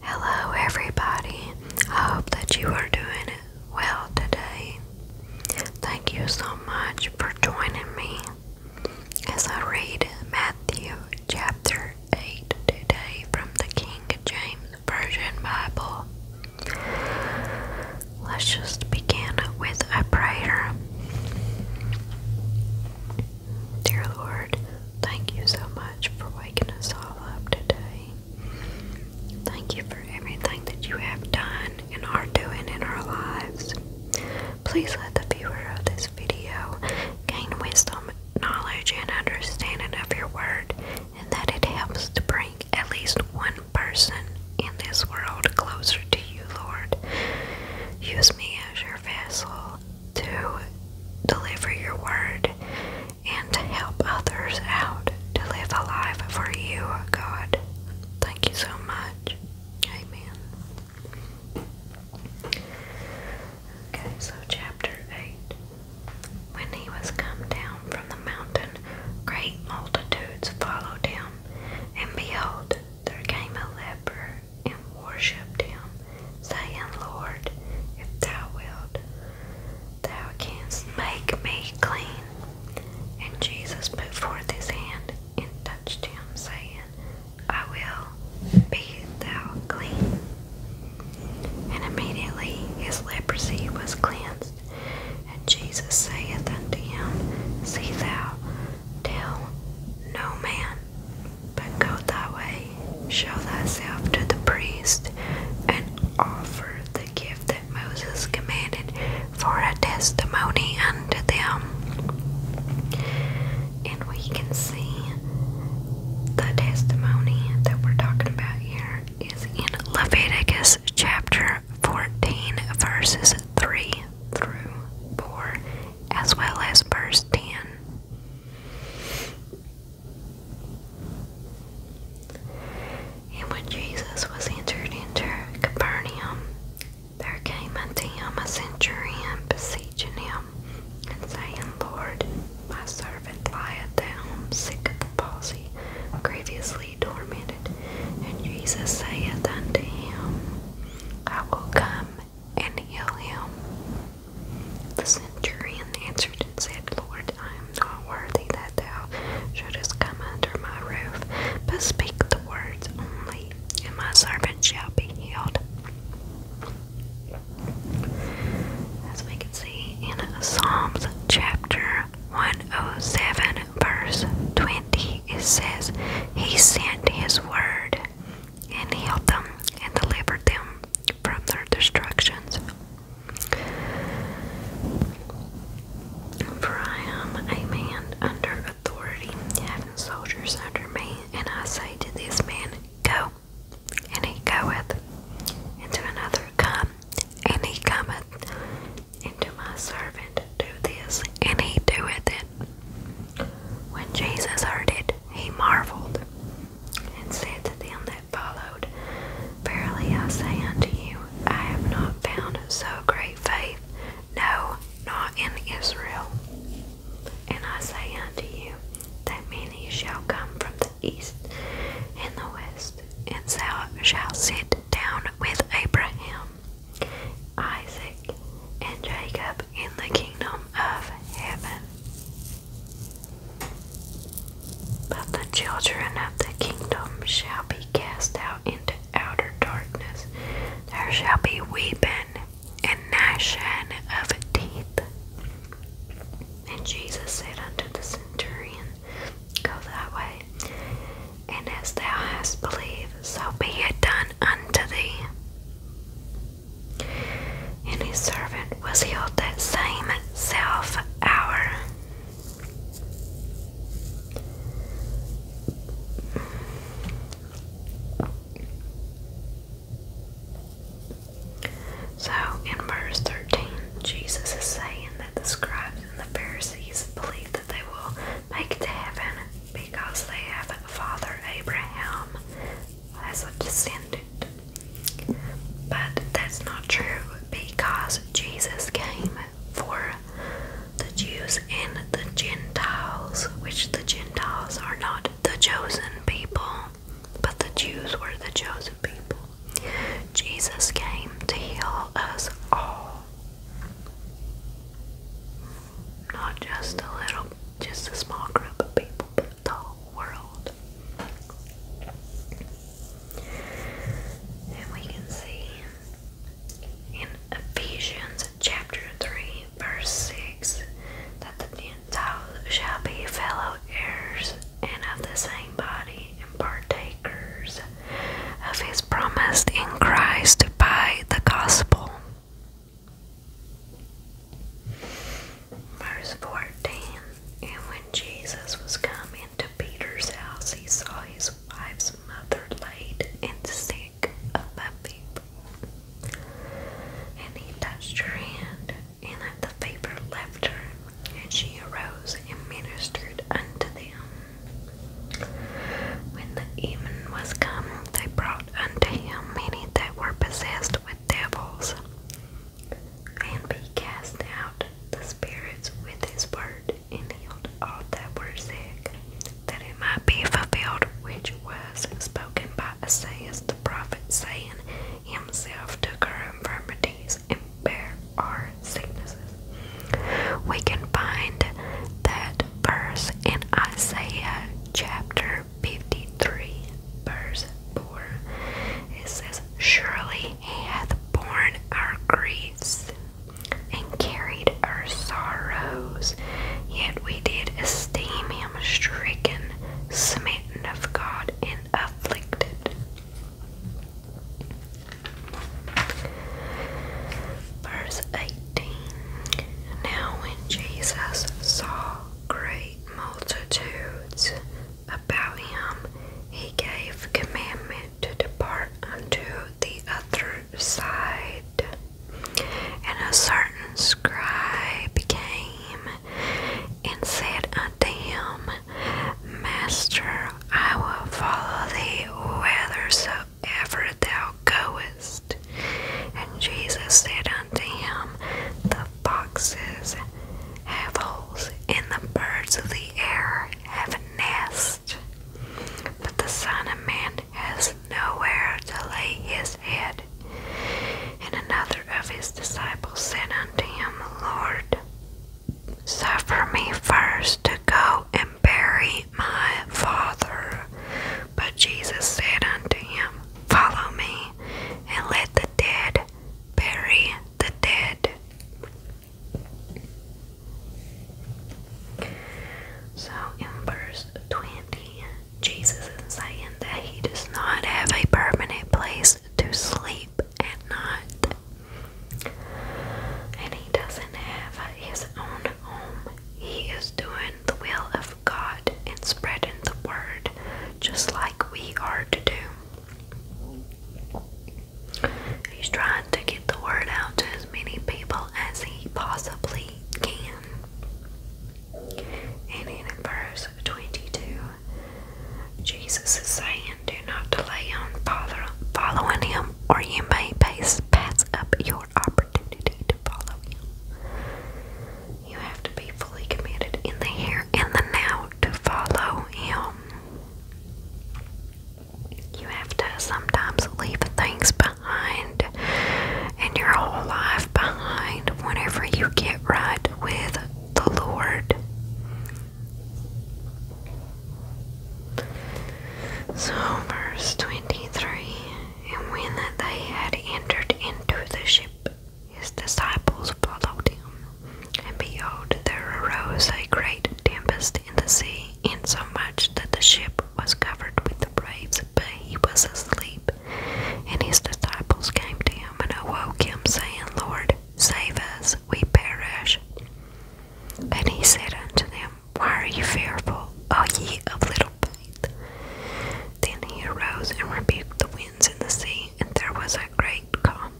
Hello, everybody. I hope that you are doing well today. Thank you so much for joining me as I read Matthew chapter 8 today from the King James Version Bible. Let's just begin with a prayer. Dear Lord, thank you so much for waking us all up today. Thank you for everything that you have done and are doing in our lives. Please let the viewer of this video gain wisdom, knowledge, and understanding of your word, and that it helps to bring at least one person in this world closer to you, Lord. Use me as your vessel to deliver your word and to help others out to live a life for you, God. Thank you so much. Amen. Okay, so chapter 8. When he was come down from the mountain, great multitudes followed him, and behold, there came a leper and worshipped him, saying, Lord, if thou wilt, thou canst make me clean. And Jesus put forth his hand and touched him, saying, I will be thou clean. And immediately his leprosy was cleansed. And Jesus saith unto him, See thou, tell no man but go that way, show thyself to the priest, and offer the gift that Moses commanded for a testimony unto them. And we can see the testimony that we're talking about here is in Leviticus chapter 14, verses 3 through 4 as well as verse 10. And when Jesus was entered into Capernaum, there came unto him a centurion beseeching him, and saying, Lord, my servant lieth down, sick of the palsy, grievously tormented. And Jesus saith unto him, I will come and heal him. The centurion answered and said, Lord, I am not worthy that thou shouldst come under my roof, but speak the words only, and my servant shall be healed. As we can see in Psalms chapter 107, verse 20, it says, He sent His word and healed them and delivered them from their destructions. For I am a man under authority, having soldiers under me, and I say to this man, Go, and he goeth, and to another, Come, and he cometh, and to my servant, Do this, and he doeth it. When Jesus heard it, he marveled and said to them that followed, Verily I say unto you, I have not found so great faith, no, not in Israel. And I say unto you, that many shall come from the east and the west, and shall sit down with Abraham Isaac and Jacob in the kingdom of heaven. But the children of the kingdom shall be cast out into outer darkness. There shall be weeping and gnashing of teeth. And Jesus said unto the centurion, Go thy way, and as thou hast believed, so be it done unto thee. And his servant was healed that same self hour. So in verse 13, Jesus is saying that the scribes and the Pharisees believe that they will make it to heaven because they have Father Abraham as a descendant. But that's not true because Jesus came for the Jews and the Gentiles, which the Gentiles are not the chosen people, but the Jews were the chosen people. Jesus came to heal us all. Not just a little, just a small group of people, but the whole world. And we can see in Ephesians chapter 3, verse 6, that the Gentiles shall be fellow heirs and of the same body and partakers of his promised in Christ by the gospel. Verse 14 And when Jesus was come into Peter's house, he saw his wife's mother laid and sick of a fever. And he touched her hand, and the fever left her, and she arose and ministered unto them. When the even was come, they brought unto him many that were possessed with devils, and he cast out the spirits with his word, and healed all that were sick, that it might be fulfilled which was spoken by Isaiah the prophet, saying, Himself took our infirmities and bare our sicknesses. We can find that verse in Isaiah chapter 53, verse 4. It says, Surely he hath borne our griefs and carried our sorrows, yet we did esteem him stricken, smitten of God, and afflicted. Verse 18 Now, when Jesus saw great multitudes about him, he gave commandment to depart unto the other side. And a certain scribe came and said unto him, Master, I will follow thee whithersoever thou goest. And Jesus said unto him, The foxes have holes, and the birds of the air have nests, but the Son of Man has nowhere to lay his head. And another of his disciples said unto him, Lord, Suffer me first to go and bury my father. But Jesus said unto him, Follow me, and let the dead bury the dead. So in verse 20, Jesus is saying that he does not have a permanent place to sleep at night. And he doesn't have his own home. He is doing the will of God and spreading the word just like we are to do. He's trying to get the word out to as many people as he possibly can. And in verse 22, Jesus is saying, Do not delay on follow, following Him, or you may pass, pass up your opportunity to follow Him. You have to be fully committed in the here and the now to follow Him. You have to sometimes leave things behind and your whole life behind whenever you get right with the Lord. So, verse 23 And when they had entered into the ship, his disciples followed him. And behold, there arose a great tempest in the sea, insomuch that the ship was covered with waves, but he was asleep. And his disciples came to him and awoke him, saying, Lord, save us, we perish. And he said unto them, Why are ye fearful, Are ye of little faith? Then he arose and rebuked the winds and the sea, and there was a great calm.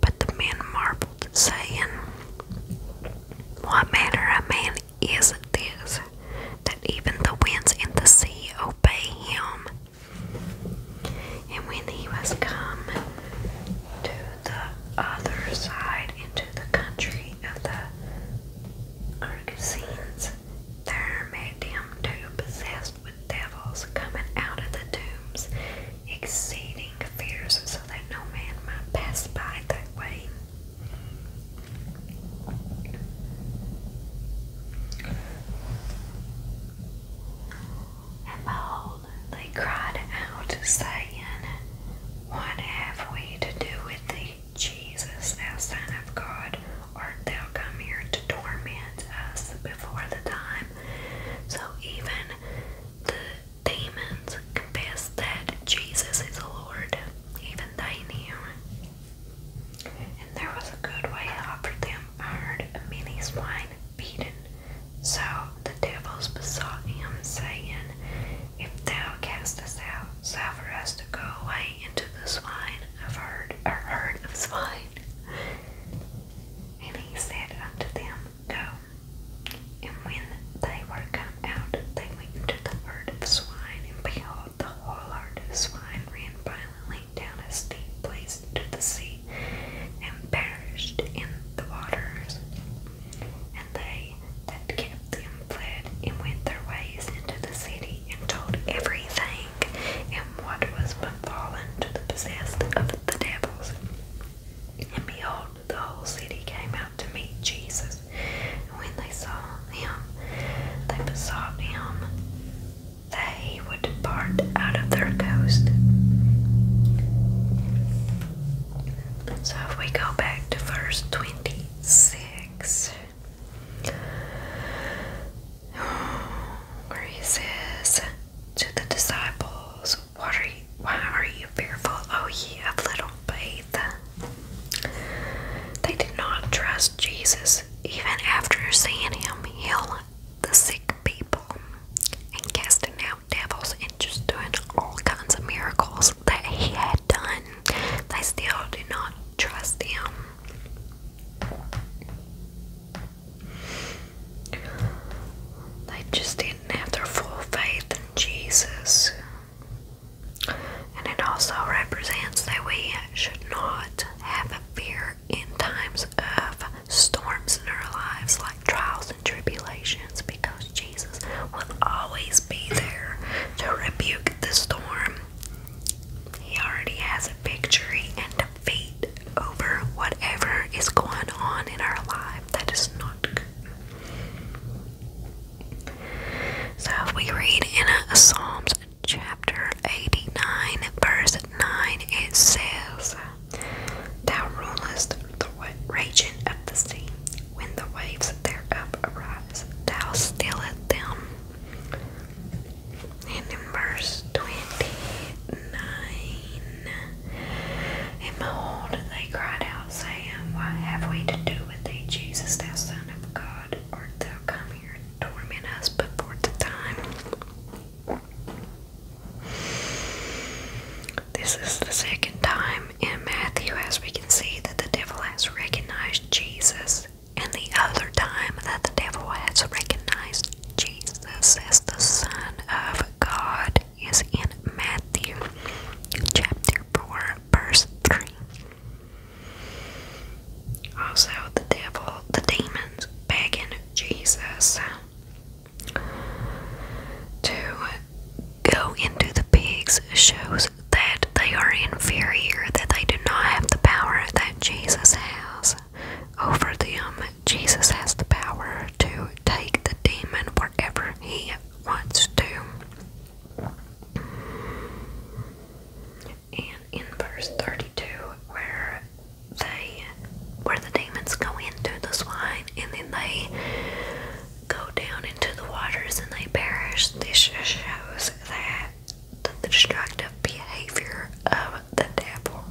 But the men marveled, saying, What manner of man is this, that even the winds and the sea obey him? And when he was come to the other side into the country of the Gergesenes, there are him two possessed with devils coming out of the tombs, exceeding fierce, so that no man might pass by that way. And behold, they cried out, saying, What have we to do with thee, Jesus, thou Son of God? Art thou come here to torment us before the time? So even the demons confessed that Jesus is Lord, even they knew there was a good way offered them a herd of many swine beaten. So the devils besought him, saying, If thou cast us out, suffer us to go away into the swine of herd or herd of swine. And he said unto them, Go. And when they were come out, they went into the herd of swine, and behold, the whole herd of swine ran violently down a steep place raised the sea and perished in the waters. And they that kept them fled and went their ways into the city and told everything and what was befallen to the possessed of the devils. And behold, the whole city came out to meet Jesus. And when they saw him, they besought him they would depart out of their coast. So if we go back to verse 26, where he says to the disciples, what are you, Why are you fearful, O ye of little faith? They did not trust Jesus even after seeing him heal the sick people and casting out devils and just doing all kinds of miracles that he had done, they still did not trust him. They just didn't have their full faith in Jesus and it also represents that we should not have a fear in times of storms in our lives, like trials and tribulations, because Jesus will always be there to rebuke the storm. He already has a victory and a defeat over whatever is going on in our life that is not good. So we read in Psalms chapter 89, verse 9, it says, Thou rulest the raging of the sea, when the waves thereof arise, thou stillest them. And in verse 29, And behold, they cried out, saying, What have we to do with thee, Jesus, thou Son of God? Art thou coming?" torment us, but for the time. This is the second time in Matthew, as we can see, that the devil has recognized Jesus, and the other time that the devil has recognized Jesus as the Son of God is in Matthew chapter 4, verse 3. Also, the devil, the demons begging Jesus to go into the pigs shows that they are inferior, that they do not have the power that Jesus has over them. Jesus has the power to take the demon wherever he wants to and in verse 32 where they where the demons go into the swine and then they go down into the waters and they perish this shows that the destructive behavior of the devil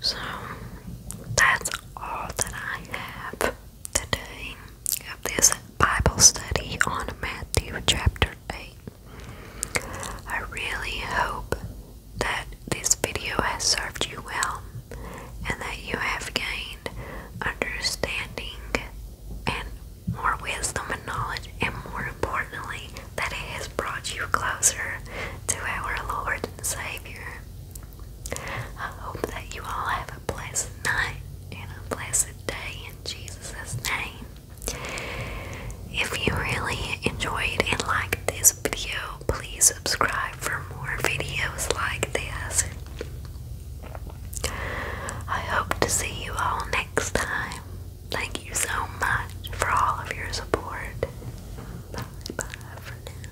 so that's all that I have today of this Bible study on Matthew chapter 8. I really hope that this video has served you well and that you have gained understanding and more wisdom and knowledge, and more importantly, that it has brought you closer to our Lord and Savior. I hope that you all have a blessed night and a blessed day in Jesus' name. If you really enjoyed and liked this video, please subscribe for more videos like this. I hope to see you all next time. Thank you so much for all of your support. Bye bye for now.